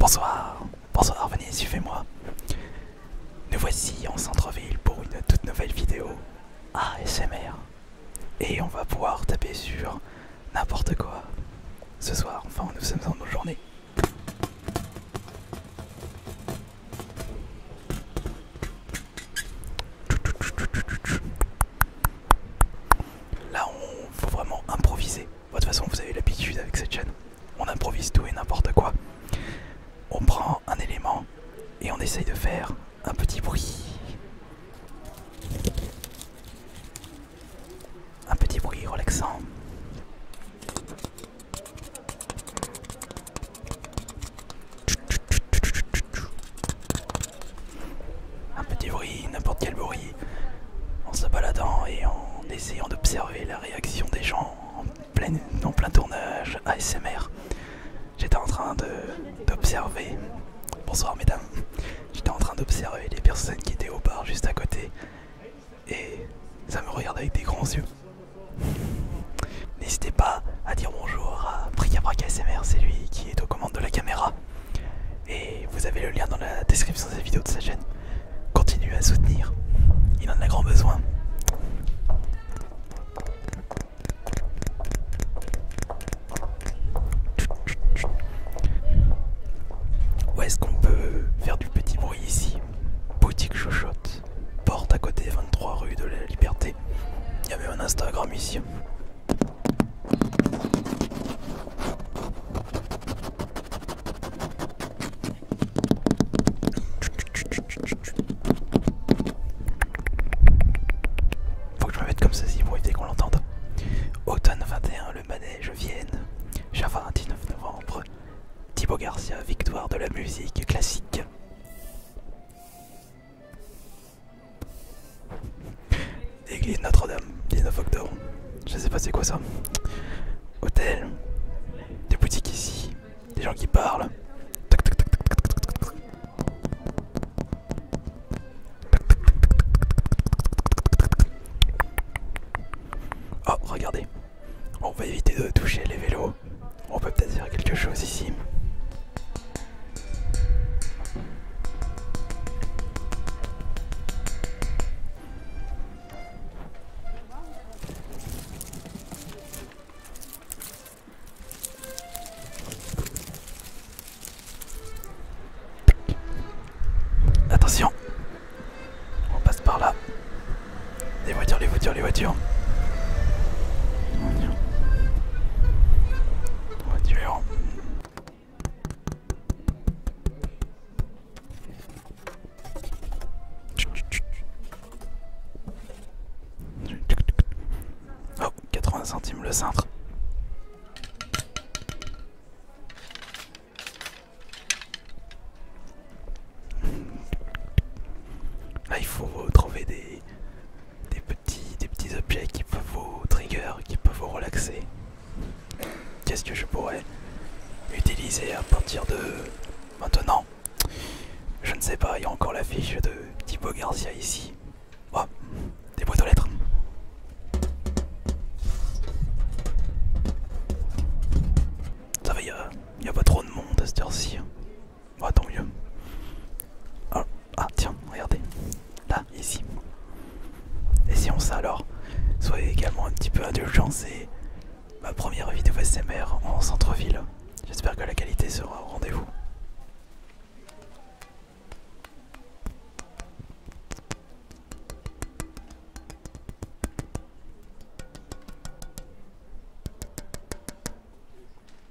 Bonsoir, bonsoir, venez, suivez-moi. Nous voici en centre-ville pour une toute nouvelle vidéo ASMR. Et on va pouvoir taper sur n'importe quoi. Ce soir, enfin, nous sommes en nos journées. Là, on faut vraiment improviser. Bah, de toute façon, vous avez l'habitude avec cette chaîne. On improvise tout et n'importe quoi. On prend un élément et on essaye de faire un petit bruit. Un petit bruit relaxant. Un petit bruit, n'importe quel bruit en se baladant et en essayant d'observer la réaction des gens en plein, plein tournage ASMR. J'étais en train d'observer, bonsoir mesdames, j'étais en train d'observer les personnes qui étaient au bar juste à côté et ça me regardait avec des grands yeux. N'hésitez pas à dire bonjour à Bricabrac ASMR, c'est lui qui est aux commandes de la caméra. Et vous avez le lien dans la description de cette vidéo de sa chaîne. Continuez à soutenir, il en a grand besoin. Où est-ce qu'on peut faire du petit bruit ici Boutique Chouchotte, porte à côté 23 rue de la Liberté. Il y avait un Instagram ici. Faut que je me mette comme ceci pour éviter qu'on l'entende. Automne 21, le manège Vienne. un 19 novembre. Thibaut Garcia, victoire de la musique classique. Église Notre-Dame, 19 octobre. Je sais pas c'est quoi ça. Hôtel, des boutiques ici, des gens qui parlent. Oh, regardez. On va éviter de toucher les vélos. On peut peut-être faire quelque chose ici. Attention, on passe par là. Les voitures, les voitures, les voitures. Oh, 80 centimes le cintre. Ah, il faut trouver des, des des petits objets qui peuvent vous trigger, qui peuvent vous relaxer. Qu'est-ce que je pourrais utiliser à partir de maintenant Je ne sais pas, il y a encore la fiche de Thibaut Garcia ici. Oh, des boîtes aux lettres. Ça va, il n'y a, pas trop de monde à cette heure-ci. Oh, tant mieux. ah, ah tiens, regardez là, ici. Et on ça alors. Soyez également un petit peu indulgents, c'est ma première vidéo SMR en centre-ville. J'espère que la qualité sera au rendez-vous.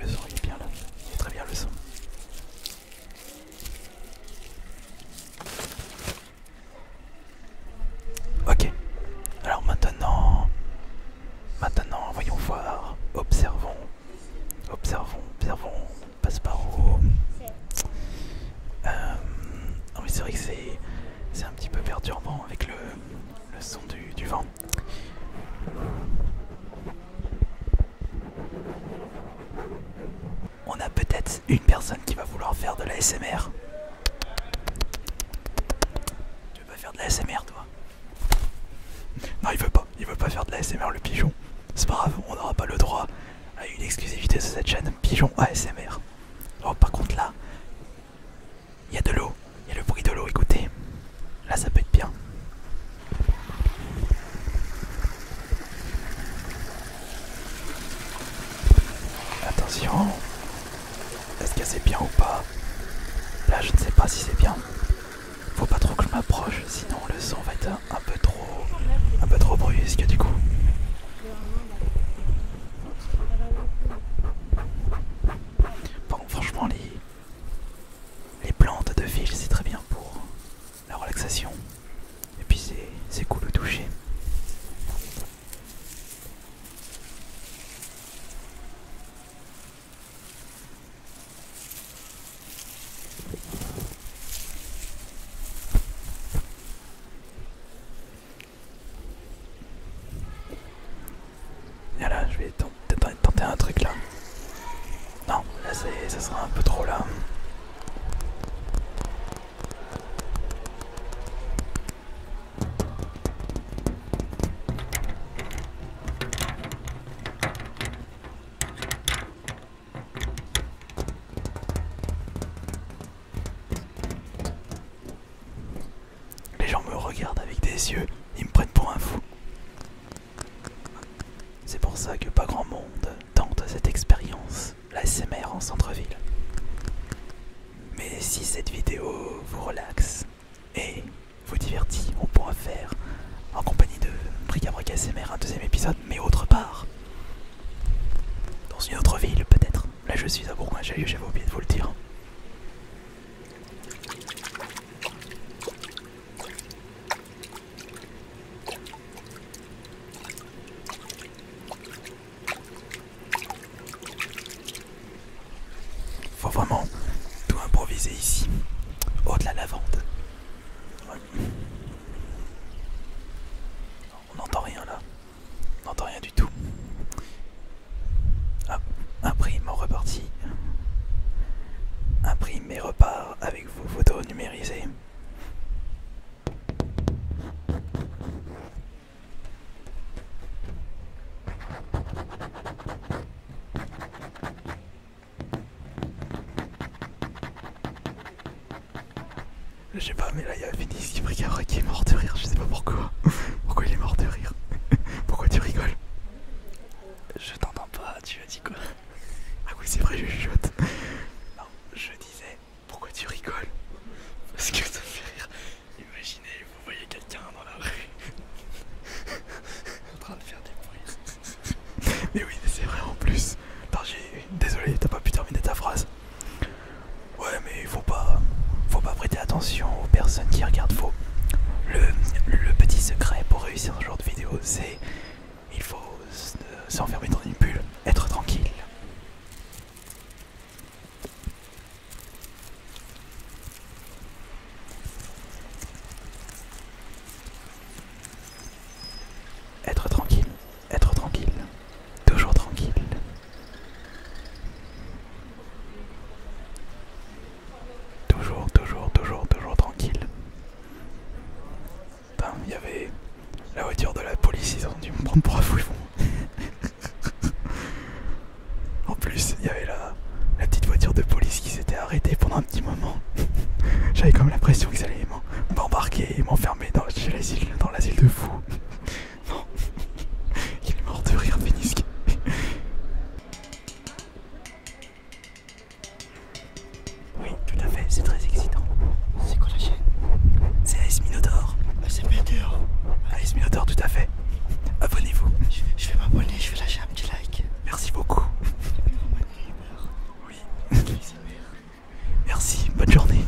le son il est bien là, il est très bien le son. Ok, alors maintenant, maintenant voyons voir, observons, observons, observons, passe par haut. Euh, c'est vrai que c'est un petit peu perturbant avec le, son du, du vent. On a peut-être une personne qui va vouloir faire de la SMR. Tu veux pas faire de la SMR toi Non il veut pas, il veut pas faire de la SMR le pigeon. C'est pas grave, on n'aura pas le droit à une exclusivité sur cette chaîne Pigeon ASMR. Oh, par contre, là, il y a de l'eau, il y a le bruit de l'eau, écoutez. Là, ça peut être bien. Attention, est-ce que c'est bien ou pas Là, je ne sais pas si c'est bien. Faut pas trop que je m'approche sinon le son va être un peu trop, un peu trop brusque du coup. Bon, franchement, les, plantes de fil, c'est très bien pour la relaxation. Et puis c'est cool de toucher. Ah là, je vais tenter, tenter un truc là. Non, là ça sera un peu trop là. Les gens me regardent avec des yeux, ils me prennent pour un fou. C'est pour ça que pas grand monde tente cette expérience, la en centre-ville. Mais si cette vidéo vous relaxe et vous divertit, on pourra faire en compagnie de Bric SMR un deuxième épisode mais autre part. Dans une autre ville peut-être. Là je suis à j'ai eu, j'avais oublié de vous le dire. Faut vraiment tout improviser ici. Au-delà de la lavande. On n'entend rien là. On n'entend rien du tout. Ah, imprime en reparti. Imprime et repart avec vos photos numérisées. Je sais pas, mais là il y a Phoenix qui qui est mort de rire, je sais pas pourquoi. pourquoi il est mort de rire Pourquoi tu rigoles Je t'entends pas, tu as dit quoi Ah oui, c'est vrai, je chuchote. Non, je disais, pourquoi tu rigoles Parce que ça me fait rire. Imaginez, vous voyez quelqu'un dans la rue en train de faire des bruits. Mais oui, c'est vrai en plus. Désolé, t'as pas pu terminer ta phrase. Ouais, mais faut pas, faut pas prêter attention aux personnes qui regardent faux. Le, le petit secret pour réussir ce genre de vidéo, c'est il faut s'enfermer dans une bulle, être tranquille. Être tranquille, être tranquille, toujours tranquille. Toujours, toujours, toujours, toujours tranquille. il y avait la voiture de la police, ils ont dû me prendre pour un fouillon. en plus, il y avait la, la petite voiture de police qui s'était arrêtée pendant un petit moment. J'avais comme l'impression qu'ils allaient m'embarquer et m'enfermer dans, l'asile, dans de fou non, il est mort de rire, Pénisque oui, tout à fait, c'est très excitant. C'est quoi la chaîne C'est Ice Minotaur. Ah, c'est c'est dur Ace tout à fait. Abonnez-vous. Je, vais m'abonner, je vais lâcher Merci beaucoup. Merci, bonne journée.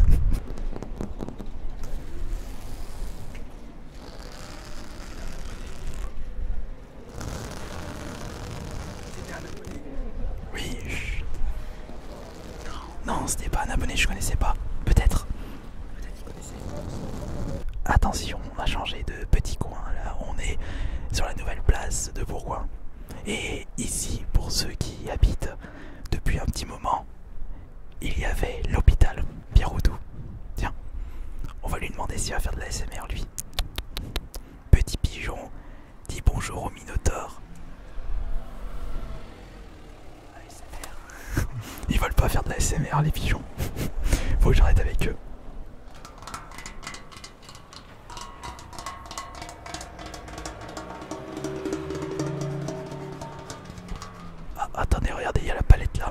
Oui. Non, c'était pas un abonné, je connaissais pas. Peut-être. Attention on a changé de petit coin là, on est sur la nouvelle place de Bourgoin. Et ici, pour ceux qui habitent, depuis un petit moment, il y avait l'hôpital Pierrotou. Tiens, on va lui demander s'il va faire de la SMR lui. Petit pigeon dit bonjour aux Minotaure. Ils veulent pas faire de la SMR les pigeons. Faut que j'arrête avec eux. Ah, attendez, regardez, il y a la palette là.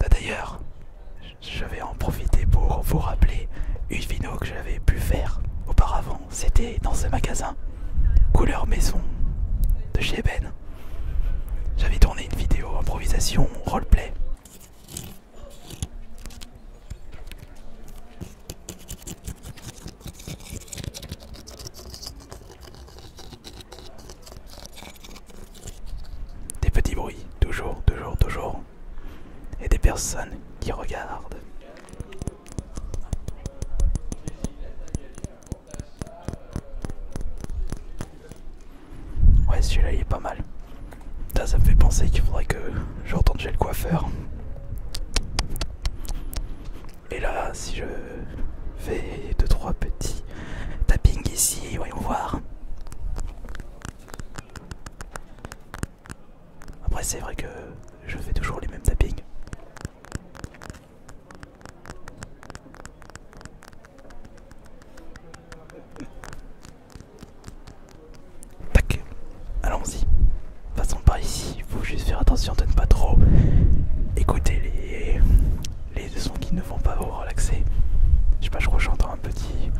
bah, d'ailleurs, je vais en profiter pour vous rappeler une vidéo que j'avais pu faire auparavant. C'était dans ce magasin, couleur maison, de chez Ben. J'avais tourné une vidéo improvisation roleplay. Des petits bruits, toujours, toujours, toujours. Et des personnes qui regardent. Ouais, celui-là il est pas mal. Ça, ça me fait penser qu'il faudrait que je chez le coiffeur. Et là, si je fais 2-3 petits tappings ici, voyons voir. Après, c'est vrai que je fais toujours les mêmes tappings. Tac, allons-y façon, par ici, il faut juste faire attention de ne pas trop écouter les, sons qui ne vont pas vous relaxer. Je sais pas, je crois que j'entends un petit,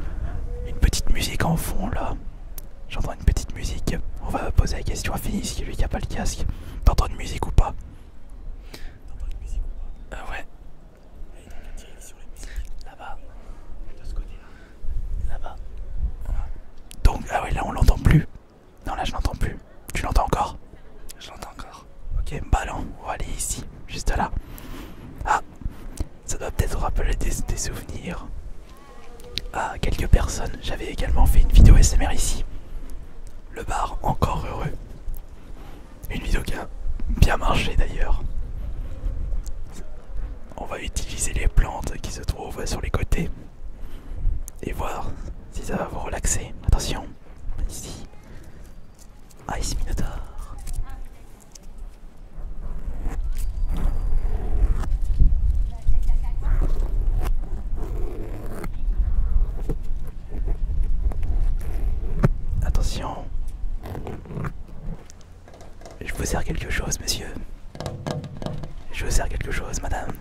une petite musique en fond là. J'entends une petite musique. On va poser la question à ici. lui qui a pas le casque. T'entends une musique ou pas T'entends une musique ou pas Ah ouais. Là-bas. De ce côté-là. Là-bas. Donc, ah ouais, là on l'entend plus. Non, là je n'entends plus. Tu l'entends encore Je l'entends encore. Ok, ballon, on va aller ici, juste là. Ah, ça doit peut-être rappeler des, souvenirs à quelques personnes. J'avais également fait une vidéo SMR ici. Le bar encore heureux. Une vidéo qui a bien marché d'ailleurs. On va utiliser les plantes qui se trouvent sur les côtés et voir si ça va vous relaxer. Attention, ici, Ice Minotaur. Attention, je vous sers quelque chose, monsieur. Je vous sers quelque chose, madame.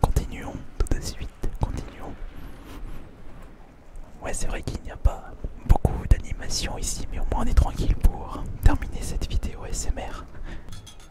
Continuons tout de suite, continuons. Ouais c'est vrai qu'il n'y a pas beaucoup d'animation ici mais au moins on est tranquille pour terminer cette vidéo SMR.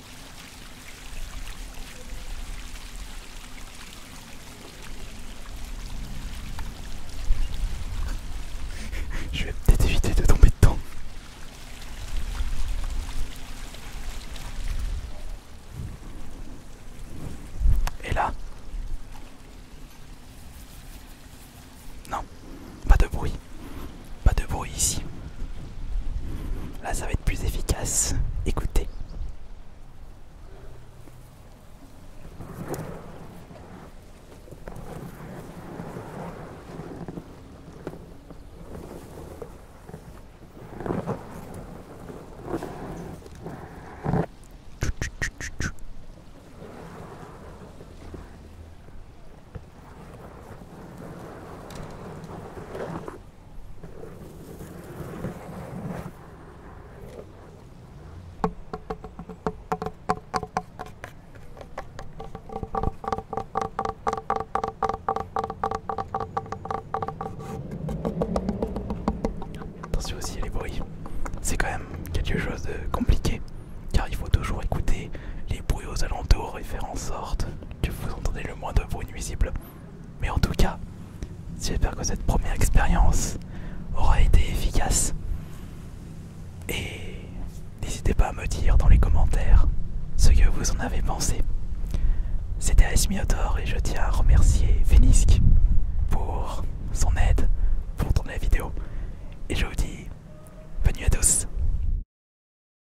Je vais peut-être éviter de tomber dedans. Et là Non, pas de bruit. Pas de bruit ici. Là, ça va être plus efficace. Écoutez. Attention aussi les bruits, c'est quand même quelque chose de compliqué car il faut toujours écouter les bruits aux alentours et faire en sorte que vous entendez le moins de bruit mais en tout cas, j'espère que cette première expérience aura été efficace. Et n'hésitez pas à me dire dans les commentaires ce que vous en avez pensé. C'était Asmiotor et je tiens à remercier Venisk pour son aide pour tourner la vidéo. Et je vous dis bonne à tous.